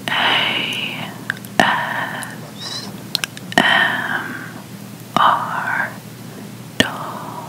ASMR doll.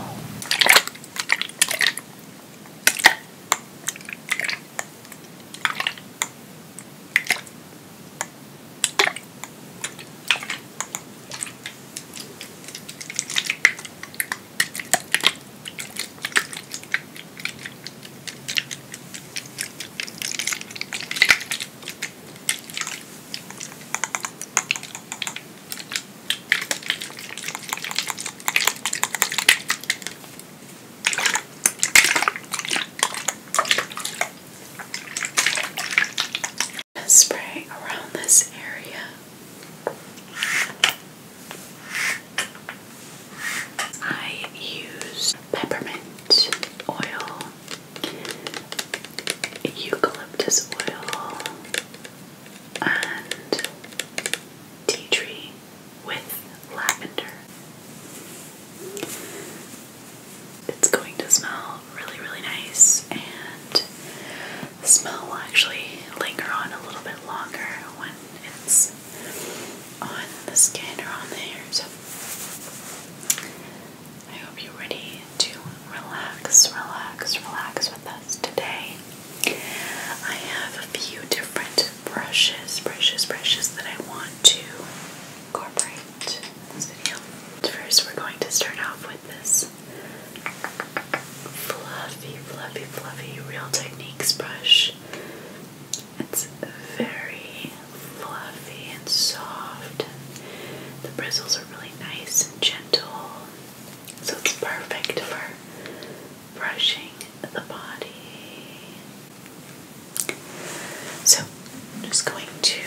Spray around this area. I use peppermint oil, eucalyptus oil, and tea tree with lavender. It's going to smell really, really nice, and the smell will actually linger on a little bit longer when it's on the skin or on the hairs. I hope you're ready to relax, relax, relax with us today. I have a few different brushes, brushes, brushes that I want to incorporate in this video. First, we're going to start off with this fluffy, fluffy, fluffy Real Techniques brush. It's very fluffy and soft, the bristles are really nice and gentle, so it's perfect for brushing the body. So, I'm just going to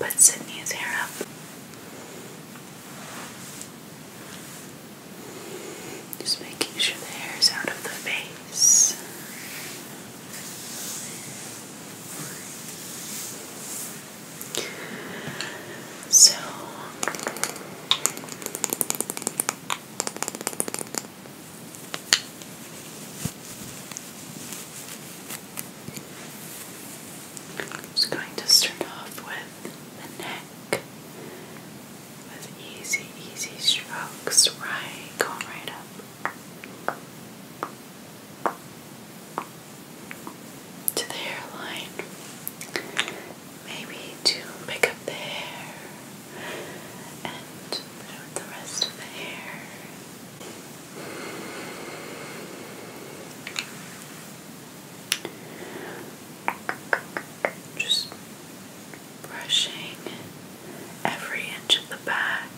put Sydney's hair up. Just making sure the hair is out of the face. So just going to start off with the neck with easy, easy strokes, right, going right up to the hairline. Maybe to pick up the hair and put it with the rest of the hair. Just brushing every inch of the back,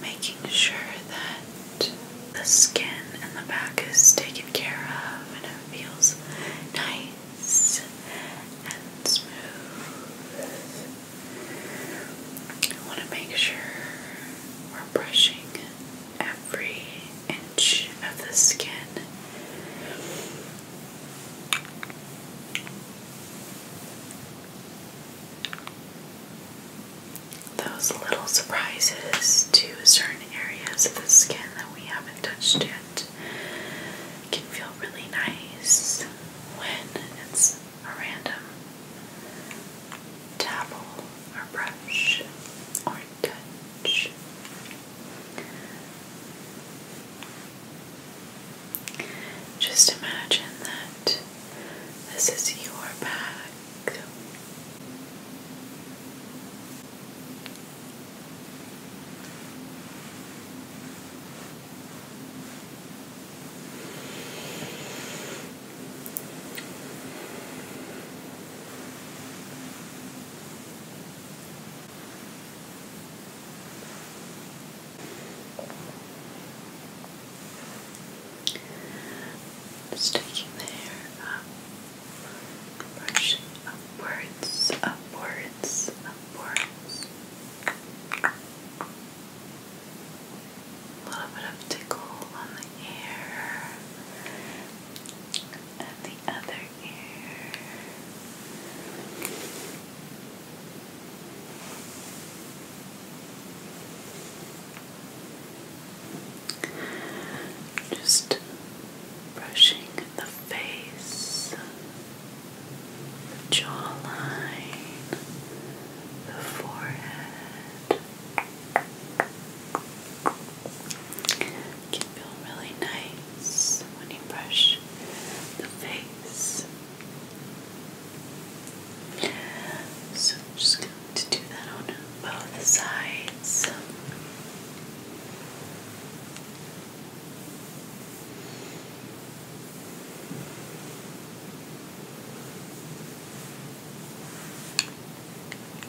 making sure that the skin in the back is taken care of and it feels nice and smooth. I want to make sure we're brushing every inch of the skin. Those little surprises to certain areas of the skin that we haven't touched yet can feel really nice when it's a random dabble or brush or touch. Just imagine that this is your back. Just taking the hair up, brushing upwards, upwards, upwards. A little bit of tickle on the ear and the other just brushing the face, the jawline, the forehead can feel really nice when you brush the face. So I'm just going to do that on both sides.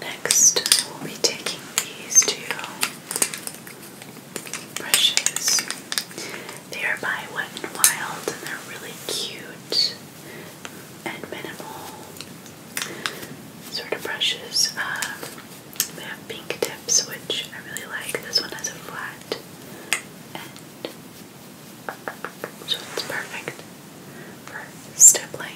Next, we'll be taking these two brushes. They are by Wet n Wild and they're really cute and minimal sort of brushes. Um, they have pink tips, which I really like. This one has a flat end, so it's perfect for stippling.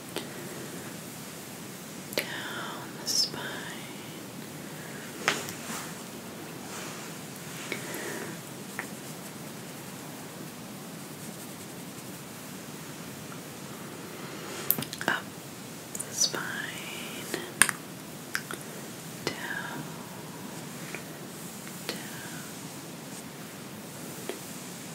down the spine. Up the spine, down, down,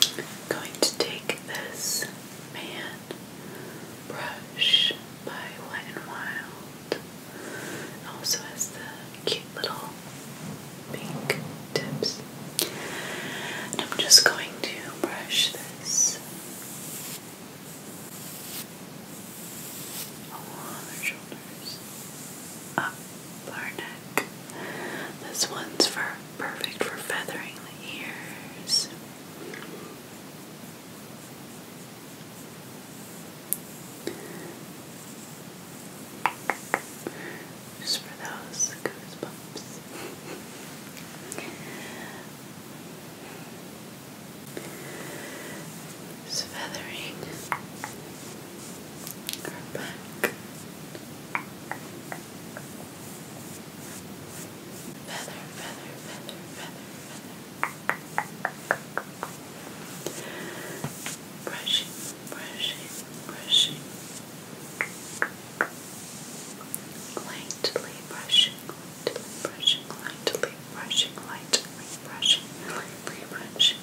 I'm going to take this man brush by Wet n Wild. also has the cute little pink tips. And I'm just going to brush this along their shoulders, up Barnack. This one's for perfect for feathering the ears. Just for those goosebumps. Just feathering are back. Feather, feather, feather, feather, feather. Brushing, brushing, brushing. Lightly brushing, lightly brushing, lightly brushing, lightly brushing, lightly brushing.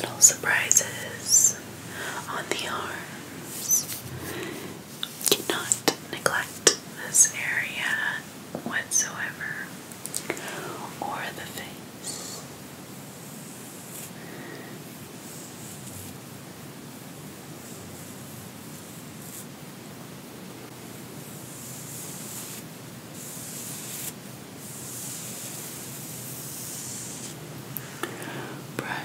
Little surprises on the arms. Do neglect this area whatsoever or the face. Brush.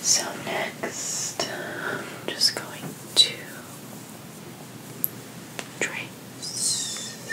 So next, um, I'm just going to trace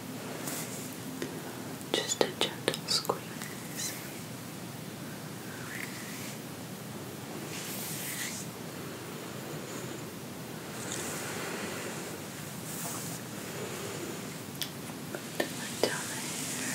Just a gentle squeeze. Put my tummy here.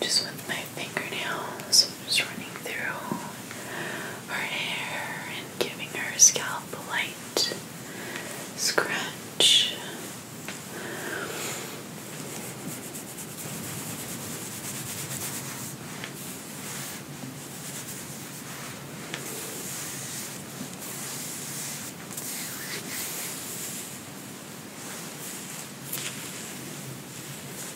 Just with my fingernails, I'm just running through her hair and giving her scalp a light scratch.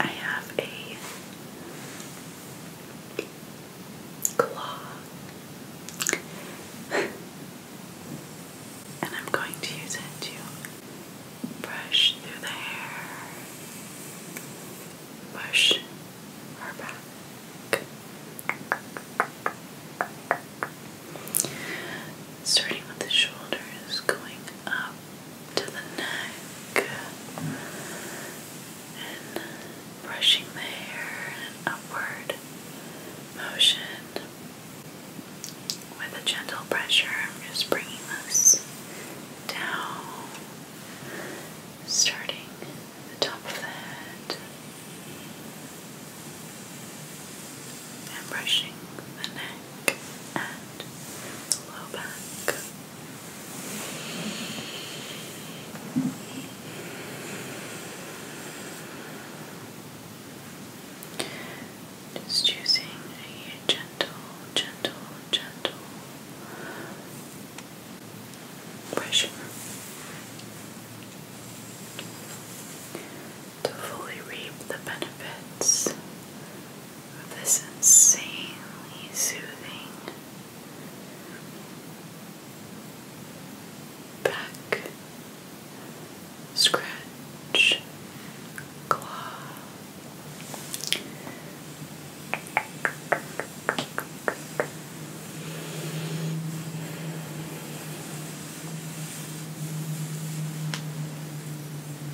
I have a claw, and I'm going to use it to brush through the hair, push her back, starting with the shoulders, going up to the neck and brushing the hair in upward motion. With a gentle pressure, I'm just bringing this down, starting at the top of the head and brushing the neck neck and low back. Just choosing a gentle, gentle, gentle pressure to fully reap the benefits this insanely soothing back scratch claw.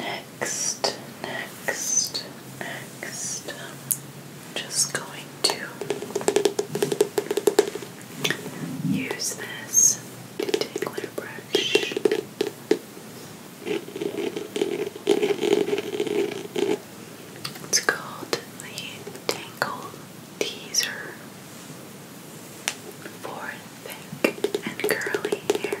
Next, next, next, just going to use this detangler brush. It's called the Tangle Teaser for thick and curly hair.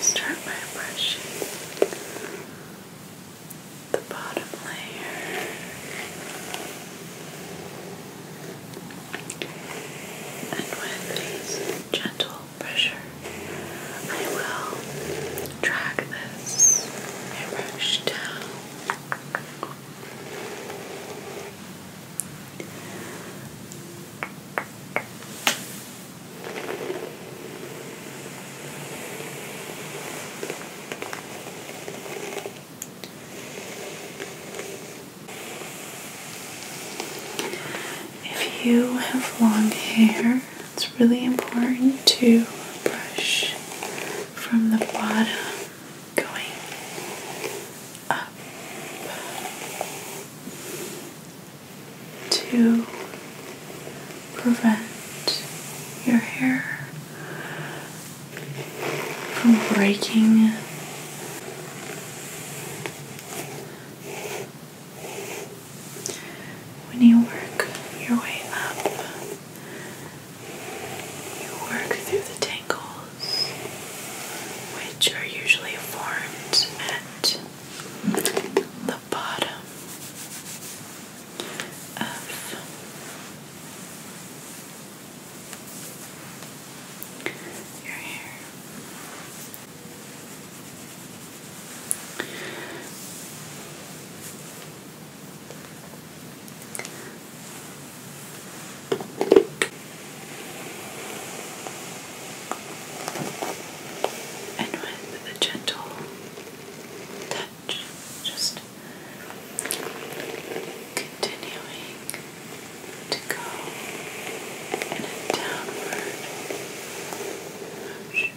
start by brushing the bottom layer. And with these gentle pressure, I will drag this airbrush down. If you have long hair, it's really important to brush from the bottom going up to prevent your hair from breaking when you work your way up, you work through the tangles, which are usually formed at the bottom of your hair. And with a gentle touch, just continuing to go in a downward motion.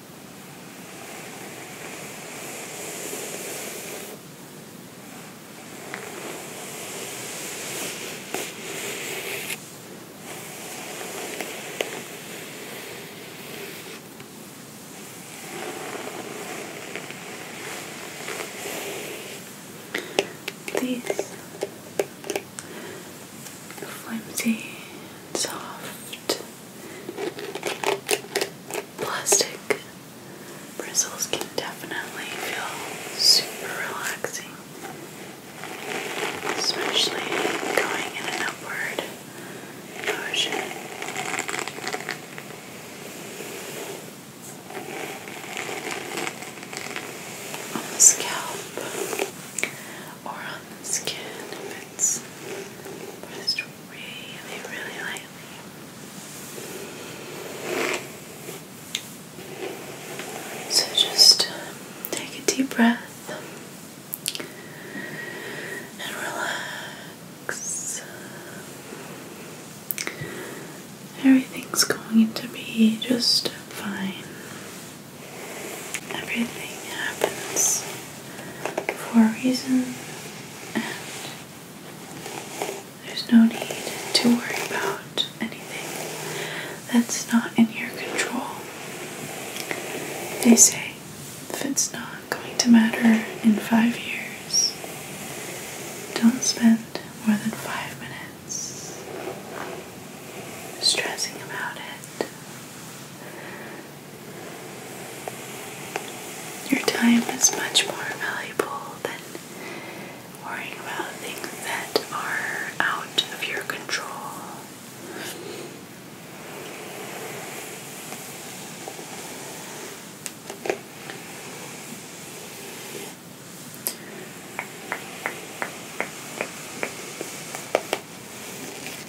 These flimsy and soft plastic bristles can definitely feel super relaxing, especially going in an upward motion. On the scalp or on the skin if it's pressed really, really lightly. So just um, take a deep breath and relax. Everything's going to be just fine. Everything happens for a reason, and there's no need to worry about anything that's not in your control. They say if it's not going to matter in five years, don't spend more than five minutes stressing about it. Your time is much more valuable than worrying about things that are out of your control.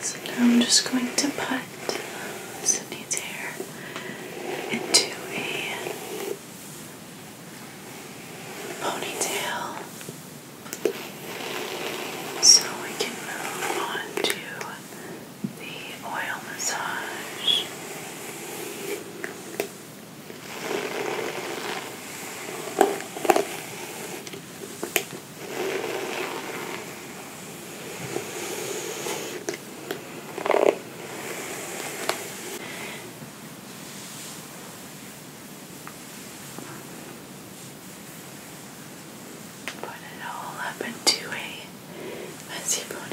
So now I'm just going to put Sydney's hair into a ponytail so we can move on to the oil massage. Put it all up into a messy ponytail.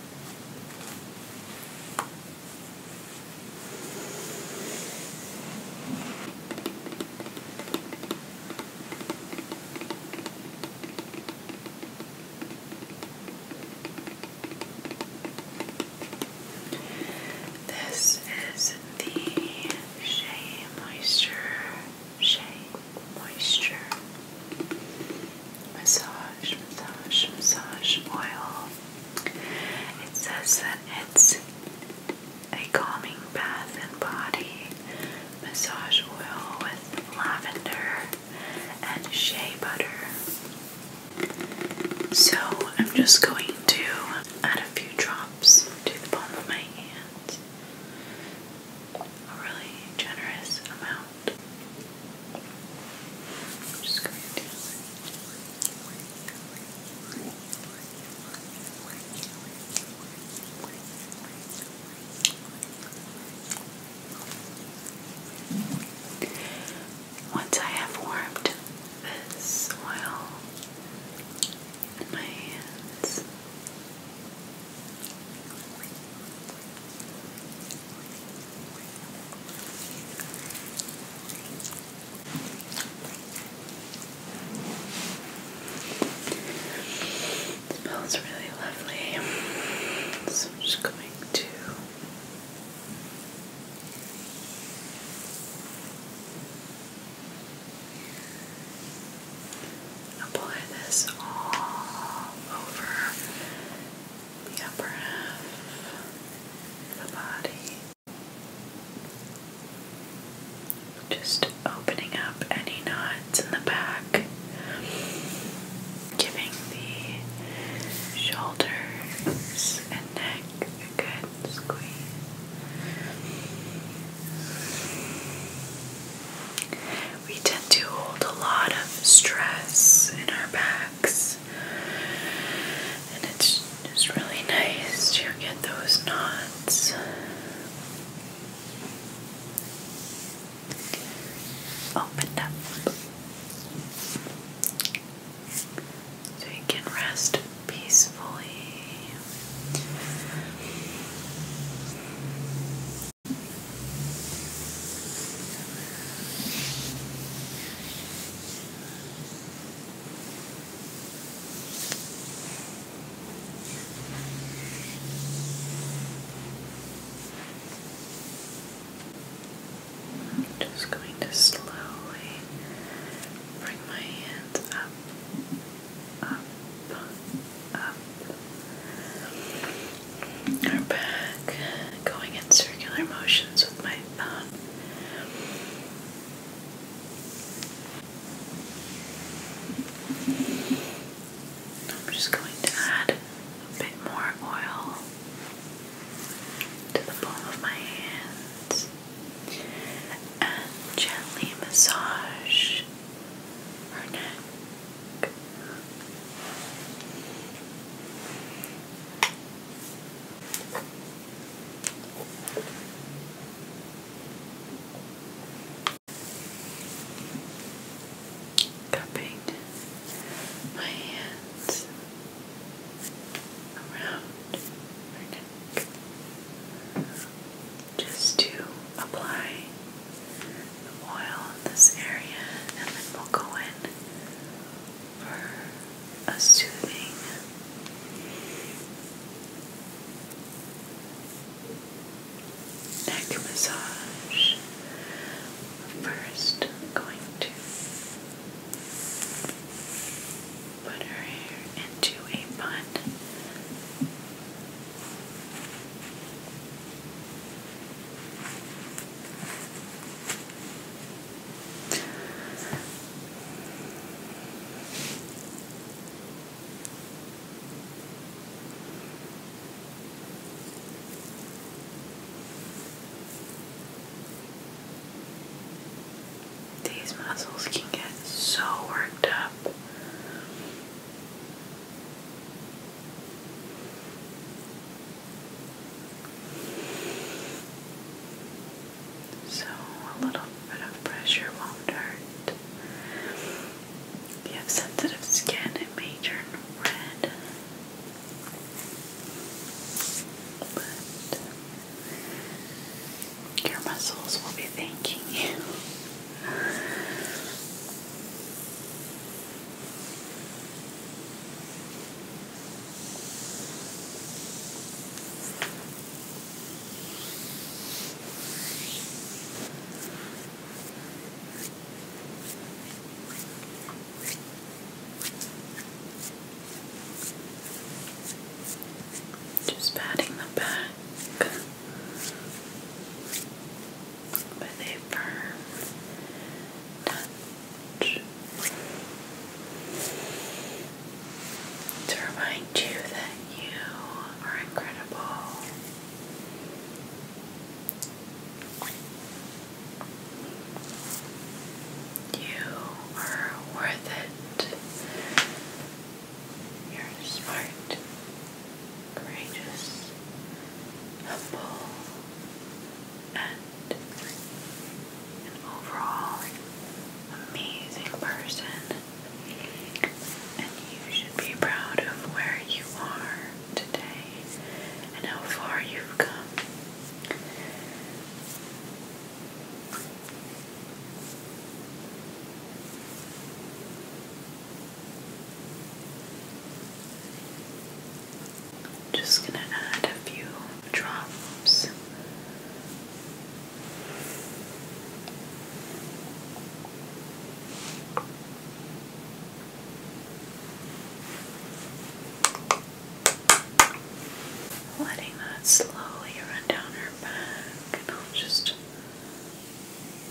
This is the Shea Moisture shade, moisture, massage, massage, massage oil. It says that it's a calming bath and body massage oil with lavender and shea butter. So I'm just going to add a few drops to the palm of my hand. A really generous amount. I'm just going to once I have warmed this oil in my hands, Smells really lovely. So I'm just going to Apply this all over the upper half of the body. Just opening up any knots in the back, giving the shoulders and neck a good squeeze we tend to hold a lot of stress in our backs. And it's just really nice to get those knots. Opened up. So you can rest peacefully. I'm just going to slowly bring my hands up up, up, or back, going in circular motions with my thumb. I'm just going to add a bit more oil to the palm of my hands and gently massage her neck. Cupping my hands around her neck just to apply the oil in this area and then we'll go in for a soothing neck massage. 1st going to put her hair into a bun. These muscles can get so worked up so a little bit of pressure won't hurt. If you have sensitive skin, it may turn red. But your muscles will be thanking you. Just patting the back with a touch to remind you that you are incredible. You are worth it. You're smart, courageous, humble, and an overall amazing person. And you should be proud of where you are today and how far you've come. Just going to add a few drops. Letting that slowly run down her back, and I'll just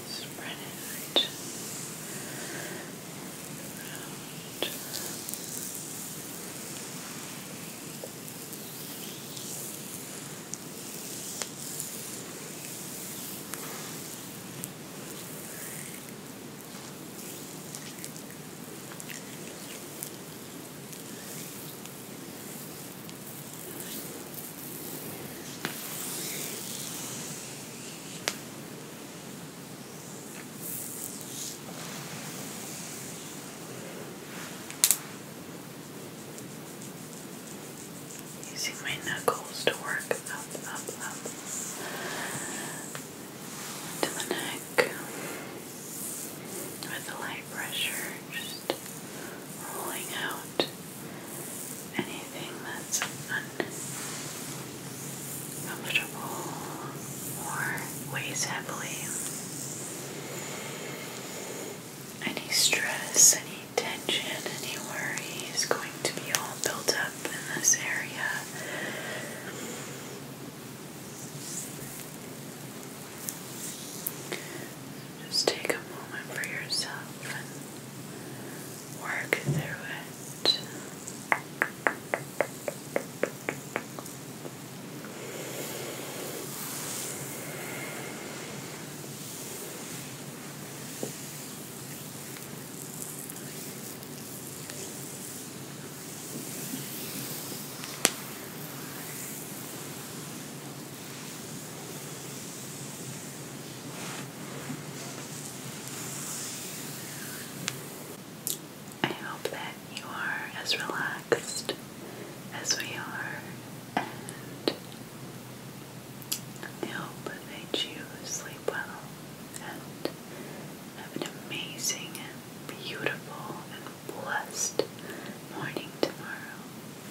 Spread it out. Using my knuckles to work up, up, up to the neck with light pressure rolling out anything that's uncomfortable or weighs heavily. Any stress, any tension, any worry is going to be all built up in this area. Just take a moment for yourself and work through it. I hope that you are as relaxed as we are, and I hope that you sleep well and have an amazing, beautiful, and blessed morning tomorrow.